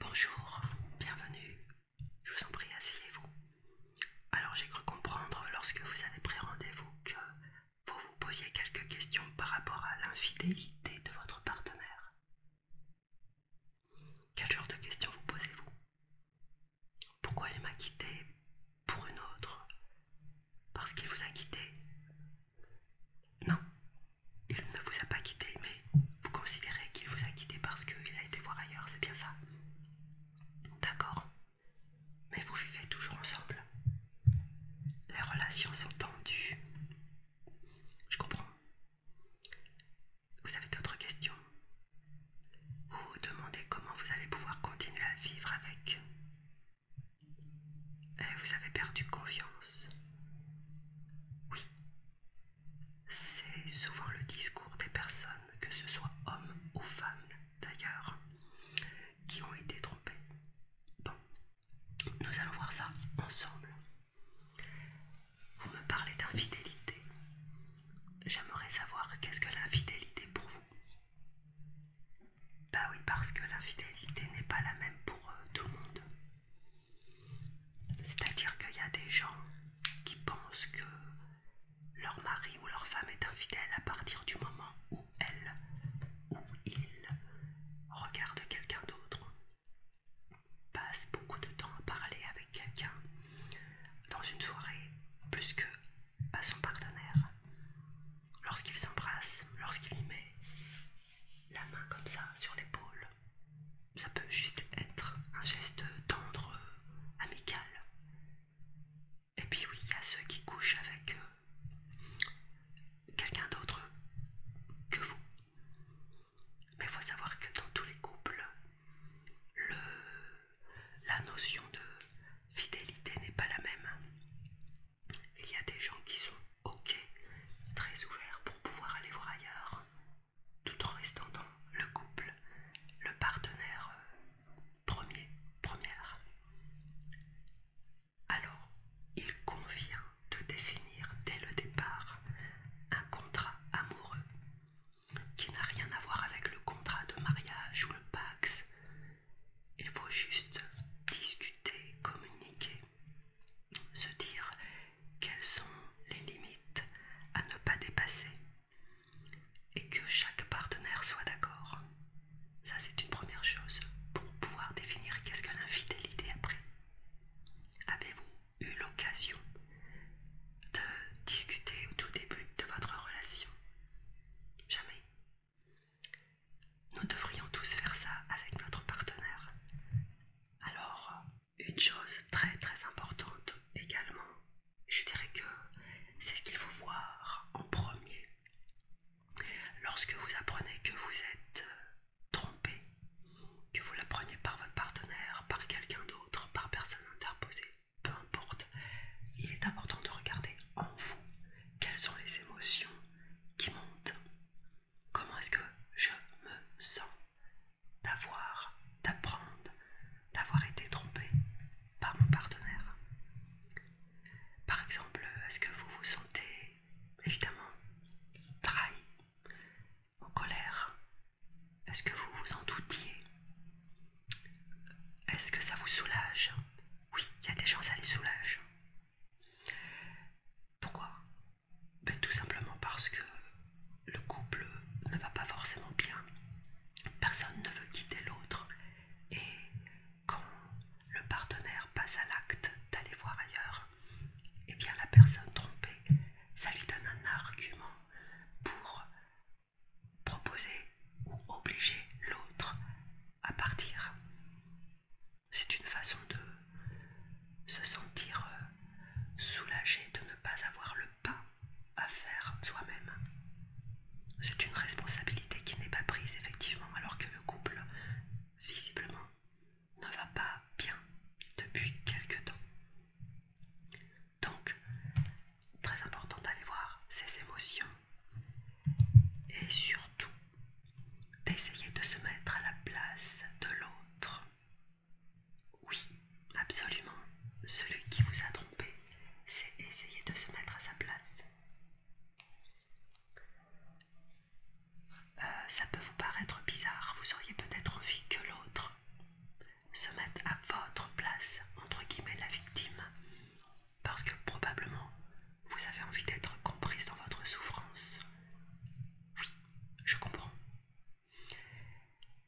Bonjour, bienvenue. Je vous en prie, asseyez-vous. Alors j'ai cru comprendre lorsque vous avez pris rendez-vous que vous vous posiez quelques questions par rapport à l'infidélité de votre partenaire. Quel genre de questions vous posez-vous Pourquoi il m'a quitté pour une autre parce qu'il vous a quitté. Non, il ne vous a pas quitté, mais vous considérez qu'il vous a quitté parce qu'il a été voir ailleurs, c'est bien ça. D'accord, mais vous vivez toujours ensemble. Les relations sont tendues. Je comprends. Vous avez d'autres questions Vous vous demandez comment vous allez pouvoir continuer à vivre avec euh, vous avez perdu confiance. Oui. C'est souvent le discours des personnes, que ce soit hommes ou femmes d'ailleurs, qui ont été trompées. Bon, nous allons voir ça ensemble. Vous me parlez d'infidélité. J'aimerais savoir qu'est-ce que l'infidélité pour vous. Bah oui, parce que l'infidélité n'est pas la même pour euh, tout le monde. C'est-à-dire qu'il y a des gens qui pensent que leur mari ou leur femme est infidèle à partir du moment où elle ou il regarde quelqu'un d'autre, passe beaucoup de temps à parler avec quelqu'un dans une soirée plus que à son partenaire. Lorsqu'ils s'embrassent, lorsqu'il lui met la main comme ça sur l'épaule, ça peut juste être un geste tendre, amical. Et puis oui, il y a ceux qui couchent avec euh, quelqu'un d'autre que vous. Mais il faut savoir que dans tous les couples, la notion de fidélité n'est pas la même. Il y a des gens qui sont OK, très ouverts pour pouvoir aller voir ailleurs, tout en restant dans le couple, le partenaire euh, premier, première. Alors, il convient de définir dès le départ un contrat amoureux qui n'a rien à voir avec le contrat de mariage ou le pax il faut juste discuter, communiquer, se dire quelles sont les limites à ne pas dépasser et que chaque partenaire soit d'accord. Ça c'est une première chose pour pouvoir définir qu'est-ce que l'infidélité après. Avez-vous eu l'occasion de discuter au tout début de votre relation Jamais. Nous devrions tous faire ça avec notre partenaire. Alors, une chose très très importante également, je dirais que c'est ce qu'il faut voir en premier. Lorsque vous apprenez que vous êtes euh, trompé, que vous l'apprenez par votre partenaire, par quelqu'un d'autre, par personne interposée, peu importe, il est important de regarder en vous quelles sont les émotions qui monte. Comment est-ce que je me sens d'avoir, d'apprendre, d'avoir été trompé par mon partenaire Par exemple, est-ce que vous vous sentez évidemment trahi, en colère Est-ce que vous vous en doutiez Est-ce que ça vous soulage Oui, il y a des gens, ça les soulage. Pourquoi ben, Tout simplement parce que le couple ne va pas forcément bien. Personne ne veut quitter l'autre. Et quand le partenaire passe à l'acte d'aller voir ailleurs, eh bien la personne trompée, ça lui donne un argument pour proposer ou obliger l'autre à partir. C'est une façon de se sentir euh, soulagé de ne pas avoir le pas à faire soi-même. C'est une responsabilité qui n'est pas prise effectivement alors que le couple, visiblement, ne va pas bien depuis quelque temps. Donc, très important d'aller voir ces émotions et surtout d'essayer de se mettre à la place de l'autre. Oui, absolument. Celui qui vous a trompé, c'est essayer de se mettre à sa place. Euh, ça peut vous paraître bizarre, vous auriez peut-être envie que l'autre se mette à votre place, entre guillemets la victime, parce que probablement vous avez envie d'être comprise dans votre souffrance. Oui, je comprends.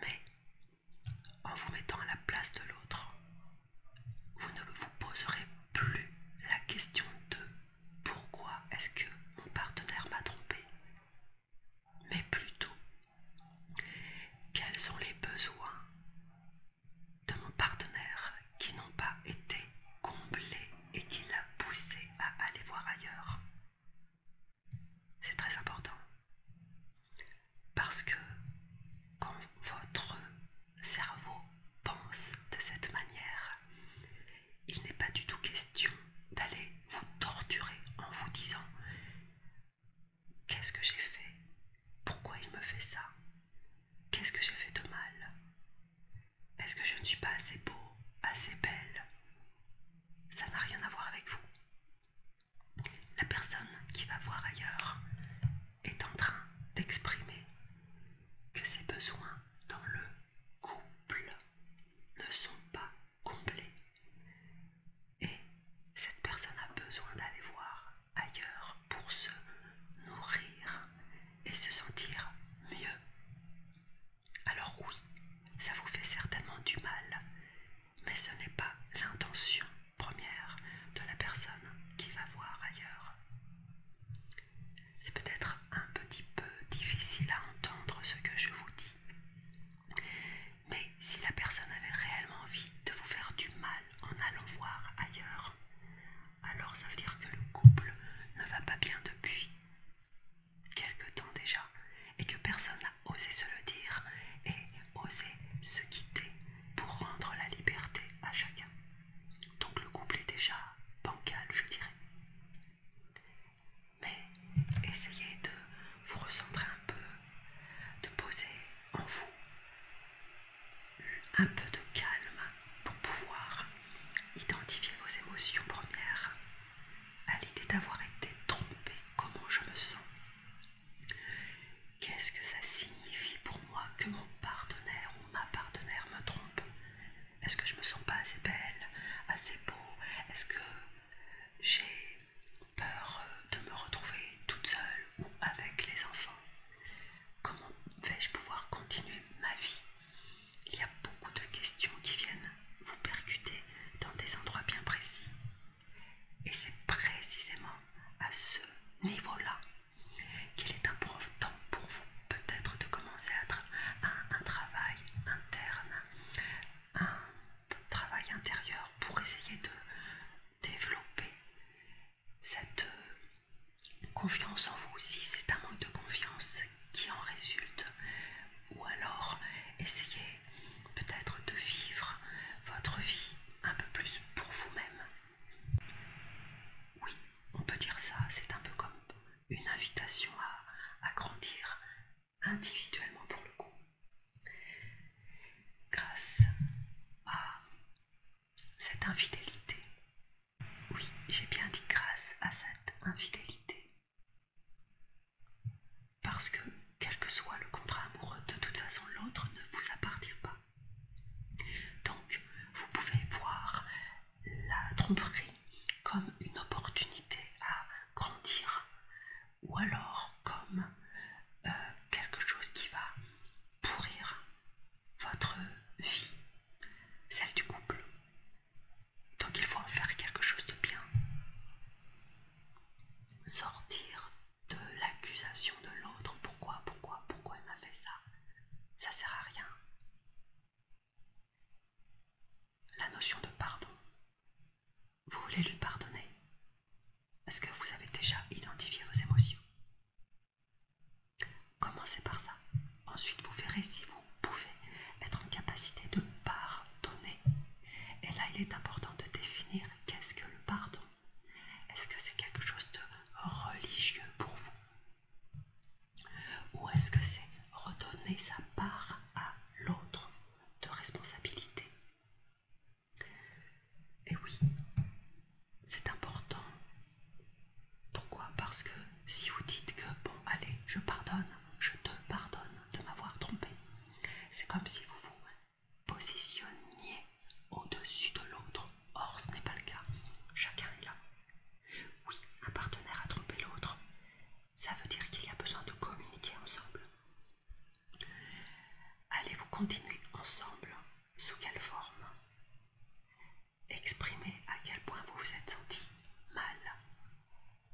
Mais en vous mettant à la place de l'autre, vous ne vous poserez plus la question de pourquoi est-ce que mon partenaire m'a trompé, mais plutôt quels sont les besoins de mon partenaire qui n'ont pas été comblés et qui l'a poussé à aller voir ailleurs. C'est très important. Parce que quand votre cerveau pense de cette manière, il n'est pas du tout question d'aller vous torturer en vous disant qu'est-ce que j'ai fait Pourquoi il me fait ça Qu'est-ce que j'ai fait de mal Est-ce que je ne suis pas assez beau, assez belle Ça n'a rien à voir avec vous. La personne qui va voir ailleurs est en train d'exprimer que ses besoins dans le couple ne sont pas complets. Et cette personne a besoin d'aller voir ailleurs pour se nourrir et se sentir mieux. Alors oui, ça vous fait certainement du mal, mais ce n'est pas l'intention première de la personne qui va voir ailleurs. C'est peut-être un petit peu difficile à entendre ce que je vous dis, mais si la personne avait réellement envie de vous faire du mal en allant voir ailleurs, alors ça veut dire que le couple ne va pas bien depuis quelque temps déjà et que personne n'a osé se le dire et osé se quitter pour rendre la liberté à chacun. Donc le couple est déjà bancal, je dirais. Mais essayez de vous recentrer un peu, de poser en vous un peu de calme pour pouvoir Identifiez vos émotions premières à l'idée d'avoir été trompée, Comment je me sens Qu'est-ce que ça signifie pour moi que mon partenaire ou ma partenaire me trompe Est-ce que je me sens pas assez belle, assez beau Est-ce que j'ai peur euh, de me retrouver toute seule ou avec les enfants Comment vais-je pouvoir continuer ma vie il y a beaucoup de questions qui viennent vous percuter dans des endroits bien précis. Et c'est précisément à ce niveau-là qu'il est important pour vous peut-être de commencer à, être un travail interne, un travail intérieur pour essayer de développer cette Confiance en vous aussi, c'est un manque de confiance qui en résulte. Ou alors, essayez peut-être de vivre votre vie un peu plus pour vous-même. Oui, on peut dire ça, c'est un peu comme une invitation à, grandir individuellement pour le coup. Grâce à cette infidélité oui, j'ai bien dit grâce à cette infidélité. Parce que, quel que soit le contrat amoureux, de toute façon l'autre ne vous appartient pas. Donc, vous pouvez voir la tromperie comme une opportunité à grandir, ou alors comme euh, quelque chose qui va pourrir votre vie, celle du couple, donc il faut en faire quelque chose de bien. Sortir de l'accusation de l'autre. Pourquoi, pourquoi, pourquoi il m'a fait ça Ça sert à rien. La notion de pardon. Vous voulez lui pardonner Est-ce que vous avez déjà identifié vos émotions Commencez par ça. Ensuite, vous verrez si vous pouvez être en capacité de pardonner. Et là, il est important de définir qu'est-ce que le pardon. Est-ce que c'est quelque chose de religieux pour vous Ou est-ce que c'est redonner sa part à l'autre de responsabilité Et oui, c'est important pourquoi Parce que si vous dites que, bon, allez, je pardonne, je te pardonne de m'avoir trompé, c'est comme si vous vous positionniez au-dessus de l'autre. Or, ce n'est pas le cas. Chacun est là. Oui, un partenaire a trompé l'autre. Ça veut dire qu'il y a besoin de communiquer ensemble. Allez-vous continuer ensemble Sous quelle forme Exprimez à quel point vous vous êtes senti mal.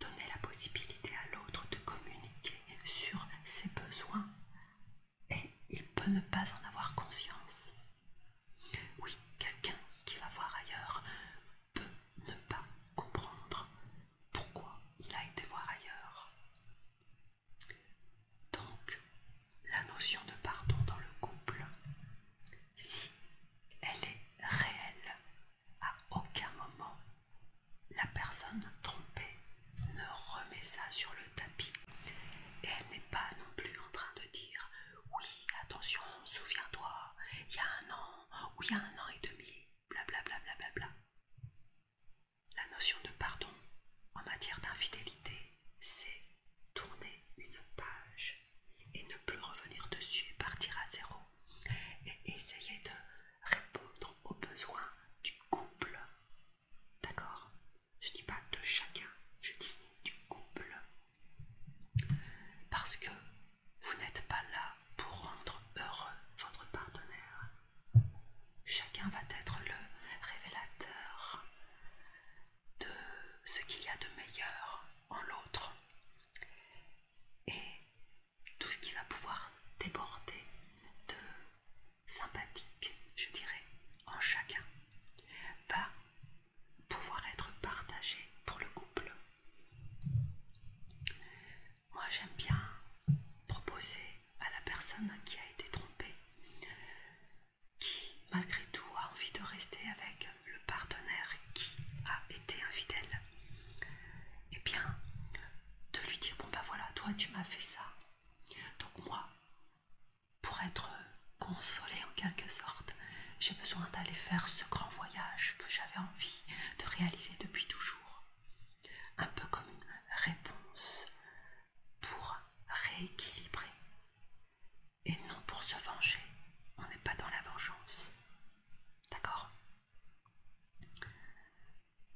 Donnez la possibilité à l'autre de communiquer sur ses besoins et il peut ne pas en avoir conscience. Oui, quelqu'un qui va voir ailleurs peut ne pas comprendre pourquoi il a été voir ailleurs. Donc, la notion de pardon dans le couple, si elle est réelle, à aucun moment la personne trompée ne remet ça sur le tapis. Et elle n'est pas non plus en train de dire oui, attention, souviens-toi, il y a un an ou il y a un an et demi, blablabla. Bla bla bla bla. La notion de pardon en matière d'infidélité, c'est tourner une page et ne plus revenir dessus et partir à zéro et essayer de répondre aux besoins du couple. D'accord Je ne dis pas de chacun, je dis du couple. Parce que vous n'êtes pas là pour rendre heureux votre partenaire. Chacun va être le révélateur de ce qu'il y a de meilleur en l'autre. Et tout ce qui va pouvoir déborder de sympathique, je dirais, en chacun, va pouvoir être partagé pour le couple. Moi j'aime bien proposer à la personne qui a été trompée, qui malgré tout a envie de rester avec le partenaire qui a été infidèle, et eh bien de lui dire bon bah voilà, toi tu m'as fait ça, donc moi pour être consolée en quelque sorte, j'ai besoin d'aller faire ce grand voyage que j'avais envie de réaliser depuis toujours. Un peu comme une réponse pour rééquilibrer. Et non pour se venger. On n'est pas dans la vengeance. D'accord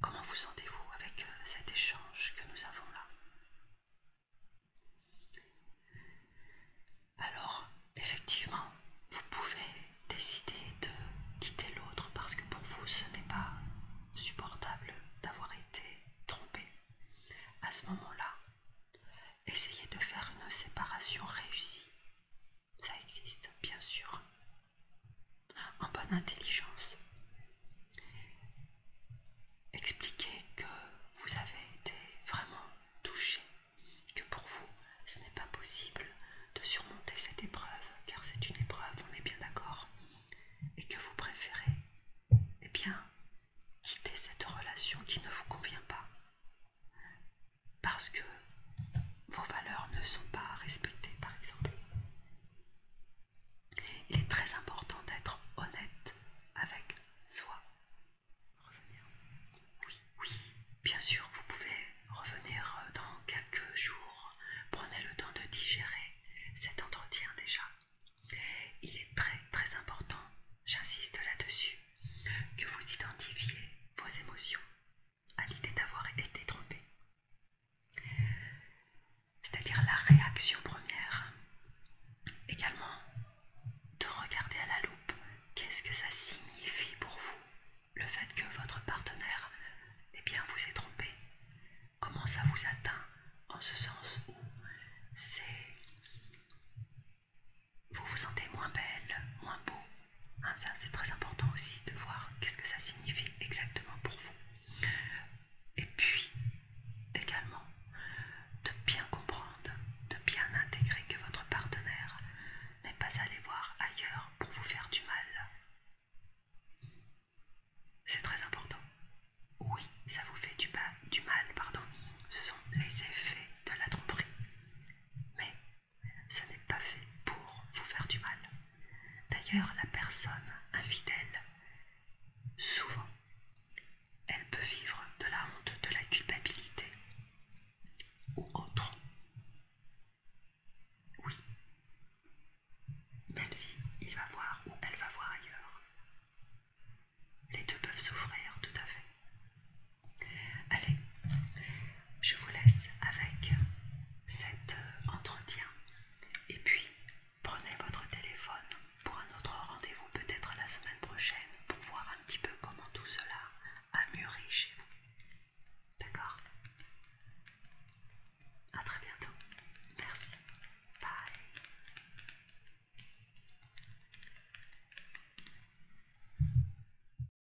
Comment vous sentez-vous avec euh, cet échange que nous avons là Alors, effectivement, vous pouvez décider de quitter l'autre parce que pour vous, ce n'est pas supportable d'avoir été trompé. À ce moment-là, essayez de faire une séparation réussie ça existe, bien sûr. En bonne intelligence. Expliquez que vous avez été vraiment touché, que pour vous, ce n'est pas possible de surmonter cette épreuve, car c'est une épreuve, on est bien d'accord, et que vous préférez, eh bien, quitter cette relation qui ne vous convient pas, parce que vos valeurs ne sont pas respectées, par exemple. Il est très important d'être honnête avec soi. Revenir. Oui, oui, bien sûr, vous pouvez revenir dans quelques jours. Prenez le temps de digérer cet entretien déjà. Il est très très important, j'insiste là-dessus, que vous identifiez vos émotions à l'idée d'avoir été trompé. C'est-à-dire la réaction première. Également, de regarder à la loupe qu'est-ce que ça signifie pour vous, le fait que votre partenaire eh bien, vous est trompé. Comment ça vous atteint en ce sens où c'est vous vous sentez moins belle, moins beau. Hein, ça, c'est très important aussi de voir qu'est-ce que ça signifie exactement pour vous. Et puis, également, de bien comprendre, de bien intégrer que votre partenaire n'est pas allé voir ailleurs pour vous faire du mal. C'est très important. Oui, ça vous fait du, du mal, pardon. Ce sont les effets de la tromperie. Mais ce n'est pas fait pour vous faire du mal. D'ailleurs, la personne infidèle, souvent, elle peut vivre de la honte, de la culpabilité ou autre. Oui, même si il va voir ou elle va voir ailleurs, les deux peuvent souffrir tout à fait. Allez, je vous laisse avec cet euh, entretien et puis prenez votre téléphone pour un autre rendez-vous peut-être la semaine prochaine pour voir un petit peu comment tout cela a mûri chez vous. D'accord À très bientôt. Merci. Bye.